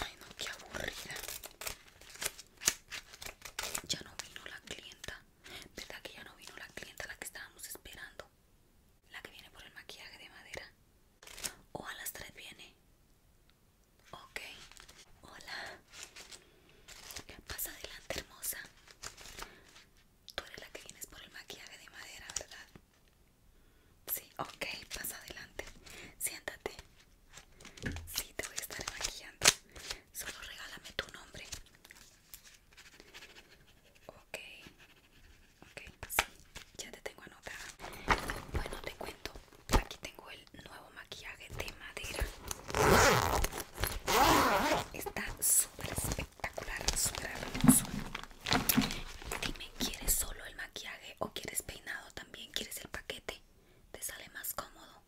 Ay, no, qué aburrida. Ya no vino la clienta. ¿Verdad que ya no vino la clienta la que estábamos esperando? La que viene por el maquillaje de madera. O a las 3 viene. Ok. Hola. Pasa adelante, hermosa. Tú eres la que vienes por el maquillaje de madera, ¿verdad? Sí, ok, pasa adelante. Siéntate. Sí, te voy a estar maquillando. Solo regálame tu nombre. Ok. Ok, sí, ya te tengo anotada. Bueno, te cuento. Aquí tengo el nuevo maquillaje de madera. Está súper especial espectacular, super hermoso. Dime, ¿quieres solo el maquillaje o quieres peinado también? ¿Quieres el paquete? ¿Te sale más cómodo?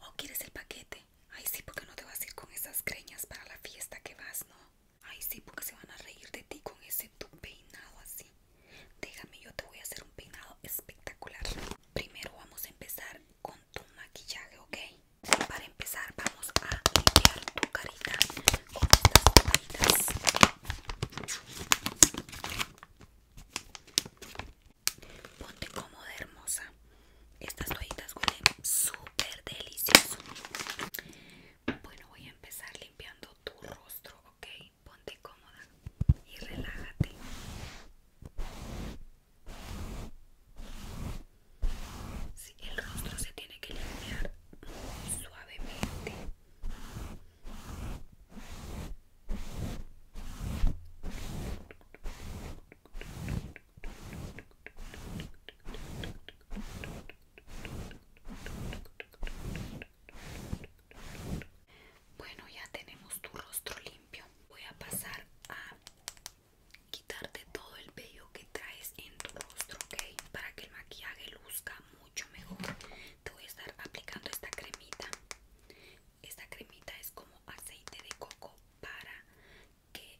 ¿O quieres el paquete? Ay, sí, porque no te vas a ir con esas creñas para la fiesta que vas, ¿no? Ay, sí, porque se van a reír de ti con ese tu peinado así. Déjame, yo te voy a hacer un peinado espectacular. Primero vamos a empezar con tu maquillaje, ¿ok? Para empezar vamos a limpiar tu carita con estas toallitas. Ponte cómoda hermosa. Estas toallitas huelen súper delicioso. Bueno, voy a empezar limpiando tu rostro, ¿ok? Ponte cómoda y relájate el rostro se tiene que limpiar suavemente. Bueno, ya tenemos tu rostro limpio. Voy a pasar a quitarte todo el pelo que traes en tu rostro, ¿ok? Para que el maquillaje luzca mucho mejor. Te voy a estar aplicando esta cremita. Esta cremita es como aceite de coco para que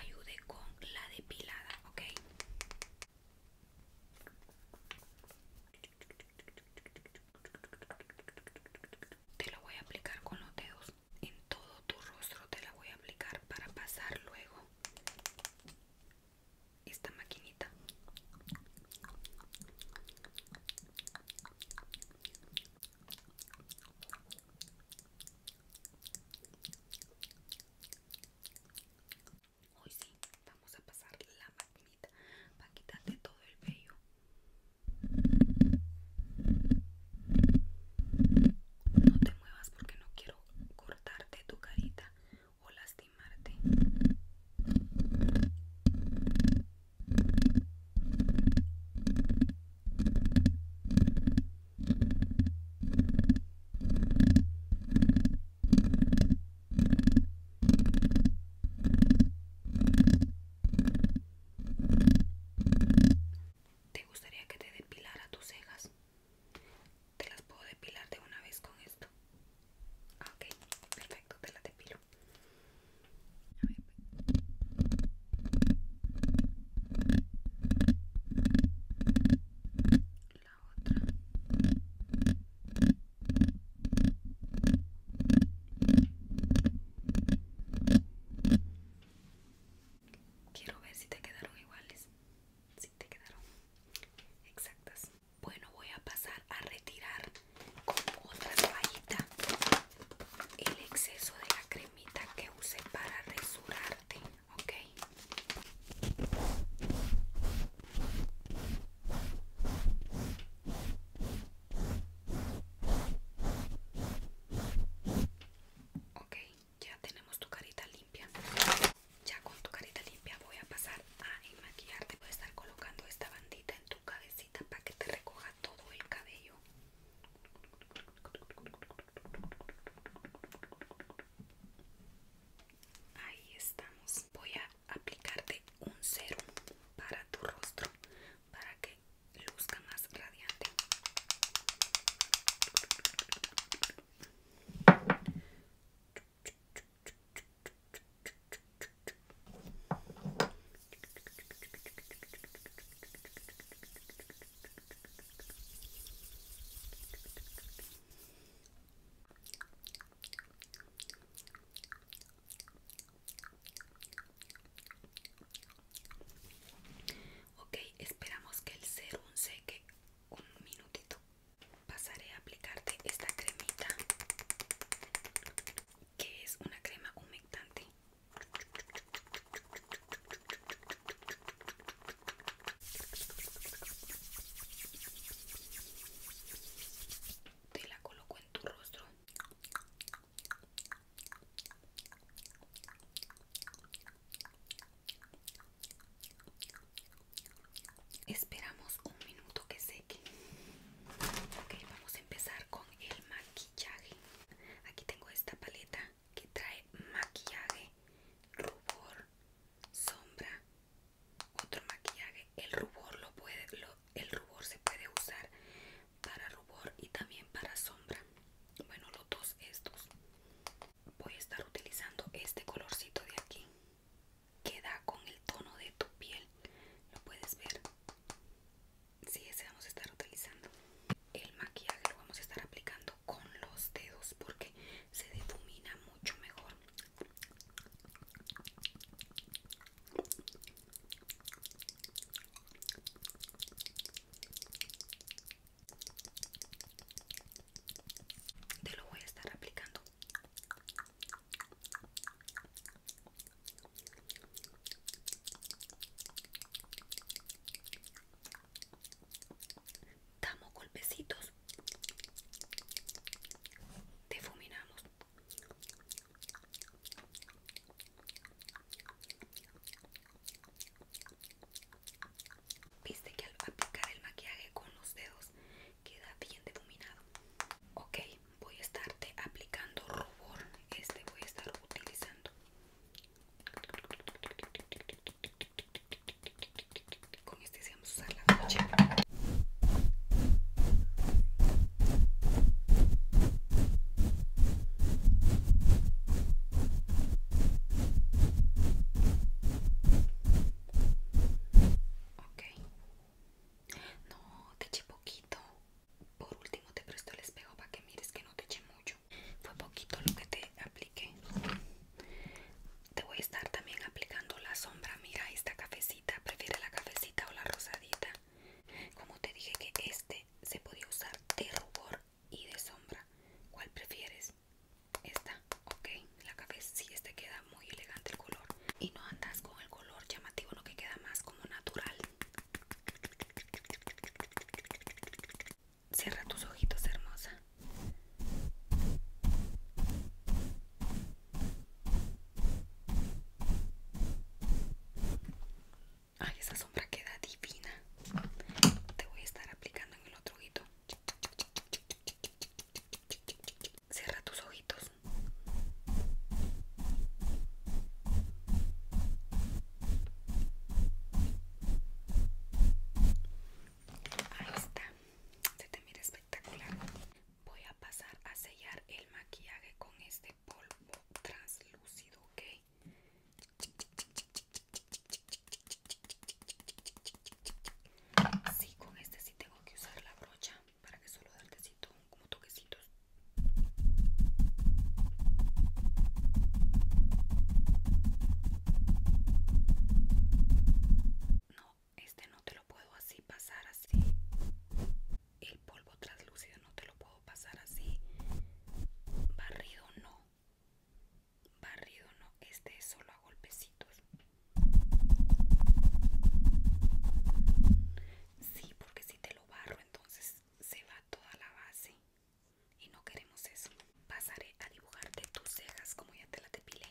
ayude con la depilada, ¿ok? Te lo voy a aplicar con los dedos en todo tu rostro. Te la voy a aplicar para pasar luego esta maquinita hoy sí vamos a pasar la maquinita para quitarte todo el pelo no te muevas porque no quiero cortarte tu carita o lastimarte. ¿Te gustaría que te depilara tus cejas? Te las puedo depilar de una vez con esto. Ah, ok, perfecto, te las depilo. La otra. Quiero ver si te quedaron iguales. Si te quedaron exactas. Bueno, voy a pasar a retirar con otra toallita el exceso de la cremita que usé para resurarte, Ok, ya tenemos tu carita limpia ya con tu carita limpia voy a pasar a maquillarte voy a estar colocando esta bandita en tu cabecita para que te recoja todo el cabello ahí estamos voy a aplicarte un serum para tu rostro para que luzca más radiante Ok, esperamos que el serum seque un minutito. Pasaré a aplicarte esta cremita, que es una crema humectante. Te la coloco en tu rostro Esperamos un minuto que seque. Ok, vamos a empezar con el maquillaje. Aquí tengo esta paleta que trae maquillaje, rubor, sombra, otro maquillaje. El rubor lo puede, el rubor se puede usar para rubor y también para sombra bueno los dos estos voy a estar utilizando este colorcito de aquí Que da con el tono de tu piel lo puedes ver si sí, ese vamos a estar utilizando el maquillaje lo vamos a estar aplicando con los dedos porque se difumina mucho mejor te lo voy a estar aplicando. Damos golpecitos. Difuminamos. Viste que al aplicar el maquillaje con los dedos queda bien difuminado. Ok, voy a estarte aplicando rubor. Este voy a estar utilizando con este se vamos a usar la noche Ok. No, te eché poquito. Por último te presto el espejo para que mires que no te eché mucho. Fue poquito lo que te apliqué. Te voy a estar también aplicando la sombra. Mira esta cafecita. ¿Prefiere la cafecita o la rosadita? Como te dije que este se podía usar de rubor y de sombra. ¿Cuál prefieres? Esta, ok, la café, si este queda muy elegante el color y no andas con el color llamativo, Lo que queda más como natural. Cierra tus ojitos, hermosa. Ay, esa sombra queda divina. Te voy a estar aplicando en el otro ojito. Cierra tus ojitos. Ahí está. Se te mira espectacular. Voy a pasar a sellar el maquillaje con este polvo translúcido, ¿ok? Así con este sí tengo que usar la brocha para que solo dé como toquecitos. No, este no te lo puedo así pasar así el polvo translúcido no te lo puedo pasar así barrido no barrido no este es solo a golpecitos sí porque si te lo barro entonces se va toda la base y no queremos eso pasaré a dibujarte tus cejas como ya te la depilé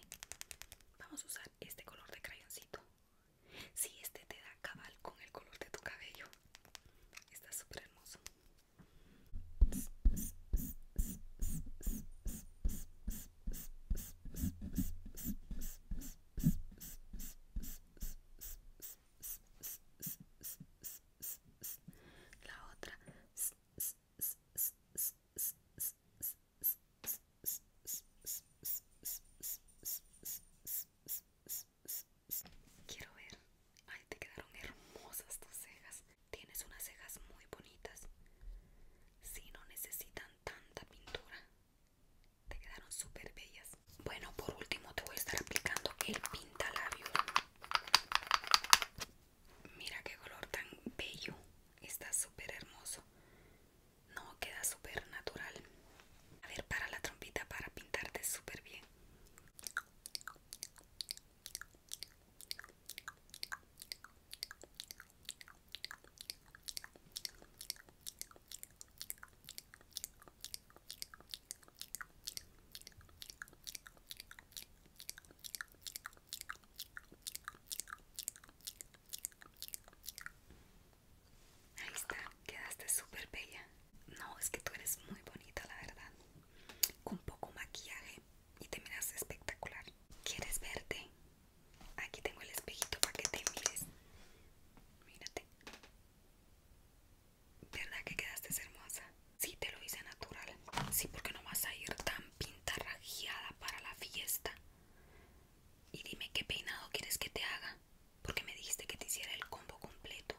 vamos a usar este color de crayoncito si sí, este te da cabal con el color de tu cabello, está súper hermoso. La otra. Quiero ver. Ay, te quedaron hermosas tus cejas. Tienes unas cejas muy bonitas. Si no necesitan tanta pintura. Te quedaron super bellas. Bueno, por último te voy a estar aplicando el pintalabio Mira qué color tan bello. Está súper hermoso. No, queda súper natural. A ver, para la trompita para pintarte súper bien. Ahí está, quedaste súper bella. No, es que tú eres muy bonita, la verdad. Con poco maquillaje y te miras espectacular. ¿Quieres verte? Aquí tengo el espejito para que te mires. Mírate. ¿Verdad que quedaste hermosa? Sí, te lo hice natural. Sí, porque no vas a ir tan pintarrajeada para la fiesta. Y dime qué peinado quieres que te haga. Porque me dijiste que te hiciera el combo completo.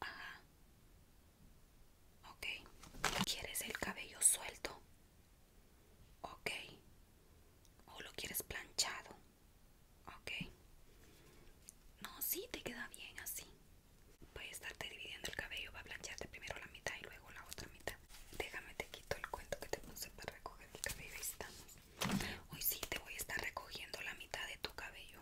Ajá. Ok. ¿Quieres el cabello suelto? Ok. ¿O lo quieres planchado? Ok. No, sí, te queda bien así. Voy a estarte dividiendo el cabello. Va a plancharte primero la mitad y luego la otra mitad. Déjame te quito el cuento que te puse para recoger el cabello. Ahí estamos. Hoy sí te voy a estar recogiendo la mitad de tu cabello.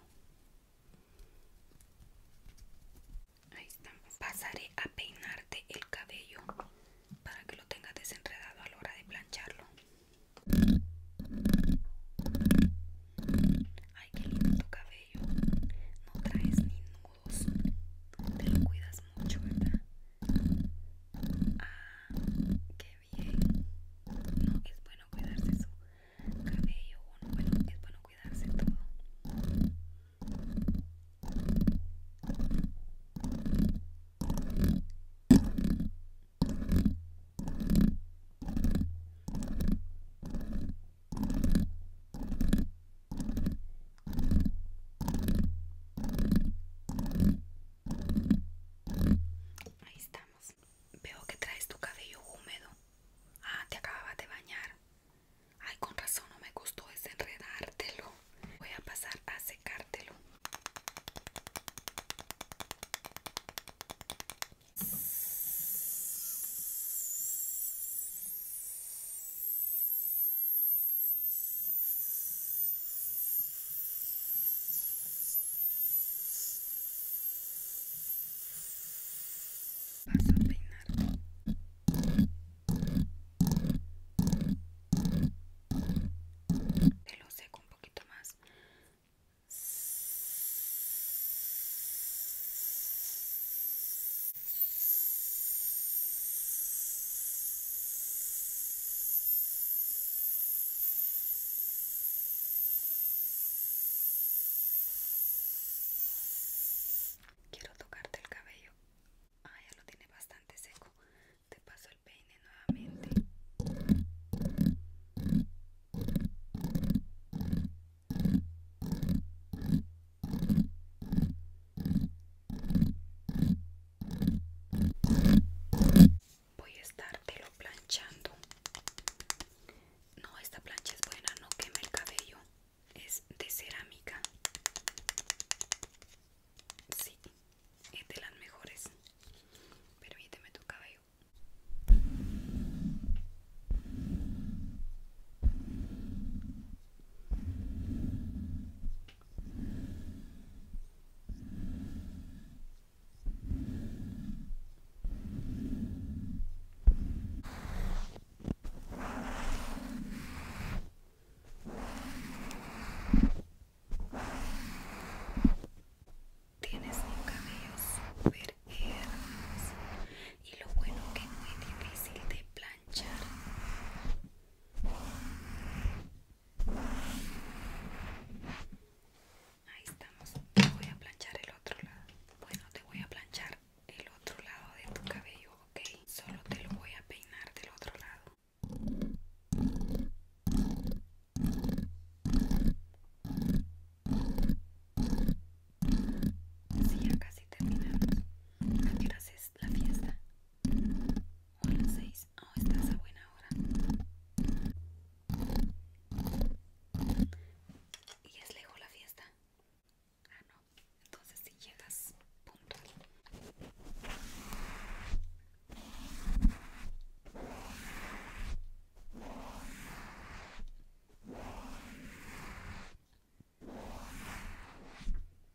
Ahí estamos. Pasaré a peinarte el cabello para que lo tengas desenredado a la hora de plancharlo. Ay, qué lindo tu cabello. No traes ni nudos. Te lo cuidas mucho, ¿verdad? Ah, qué es bueno cuidarse su cabello, bueno, es bueno cuidarse todo. Ahí estamos. Veo que traes tu cabello húmedo. Ah, te acababa de bañar. Ay, con razón no me gustó desenredártelo. Voy a pasar a secártelo. Vas a peinar. Te lo seco un poquito más. Quiero tocarte el cabello. Ah, ya lo tiene bastante seco. Te paso el peine nuevamente voy a lo planchando no esta plancha es buena no queme el cabello es de cerámica sí es de las mejores permíteme tu cabello Tienes un cabellos hermoso y lo bueno que es muy difícil de planchar. Ahí estamos. Te voy a planchar el otro lado. Bueno, te voy a planchar el otro lado de tu cabello, ¿ok? Solo te lo voy a peinar del otro lado. Sí, ya casi terminamos. ¿A qué hora es la fiesta? a Oh, estás a buena hora. ¿Y es lejos la fiesta? Ah, no. Entonces si llegas Punto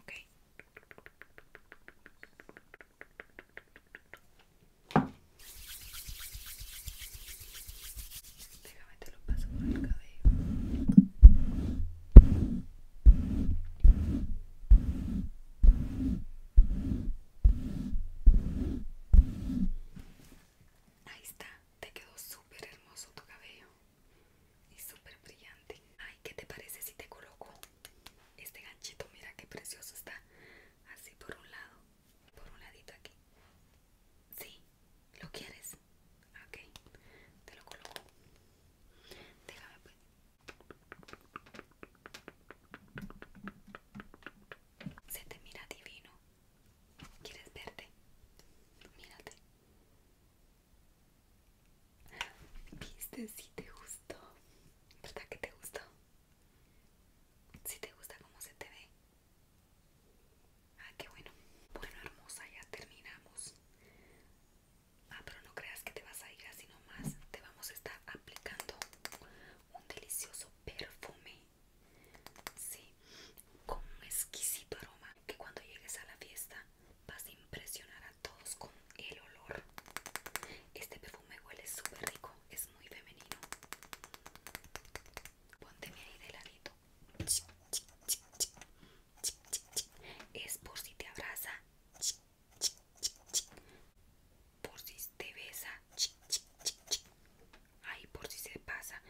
ok déjame te lo paso por el cabello Ahí está, te quedó súper hermoso tu cabello y súper brillante. Ay, ¿qué te parece si te coloco este ganchito? Mira qué precioso está. Así por un lado, por un ladito aquí. Sí, ¿lo quieres? Ok, te lo coloco. Déjame pues. Se te mira divino. ¿Quieres verte? Mírate. Viste, si te gustó. ¿Verdad que te gustó? Si te gusta cómo se te ve. Ah, qué bueno. Bueno, hermosa, ya terminamos. Ah, pero no creas que te vas a ir así nomás. Te vamos a estar aplicando un delicioso perfume. Sí, con un exquisito aroma que cuando llegues a la fiesta vas a impresionar a todos con el olor. Este perfume huele súper rico, es muy femenino. Pónteme ahí de ladito. Es por si te abraza, por si te besa, ahí por si se pasa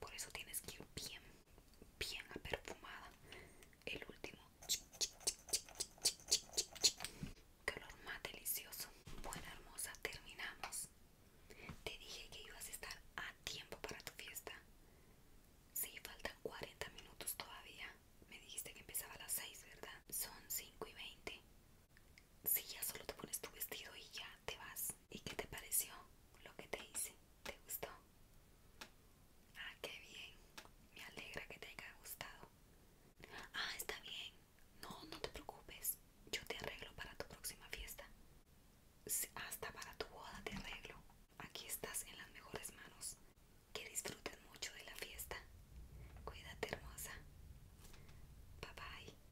por eso tienes que ir bien bien perfumada el último qué olor más delicioso Buena hermosa terminamos te dije que ibas a estar a tiempo para tu fiesta si sí, faltan 40 minutos todavía me dijiste que empezaba a las 6 verdad son 5 y 20 si ya solo te pones tu vestido y ya te vas. ¿Y qué te pareció lo que te hice? ¿Te gustó? Ah, qué bien. Me alegra que te haya gustado. Ah, está bien. No, no te preocupes. Yo te arreglo para tu próxima fiesta. Hasta para tu boda te arreglo. Aquí estás en las mejores manos. Que disfrutes mucho de la fiesta. Cuídate, hermosa. Bye bye.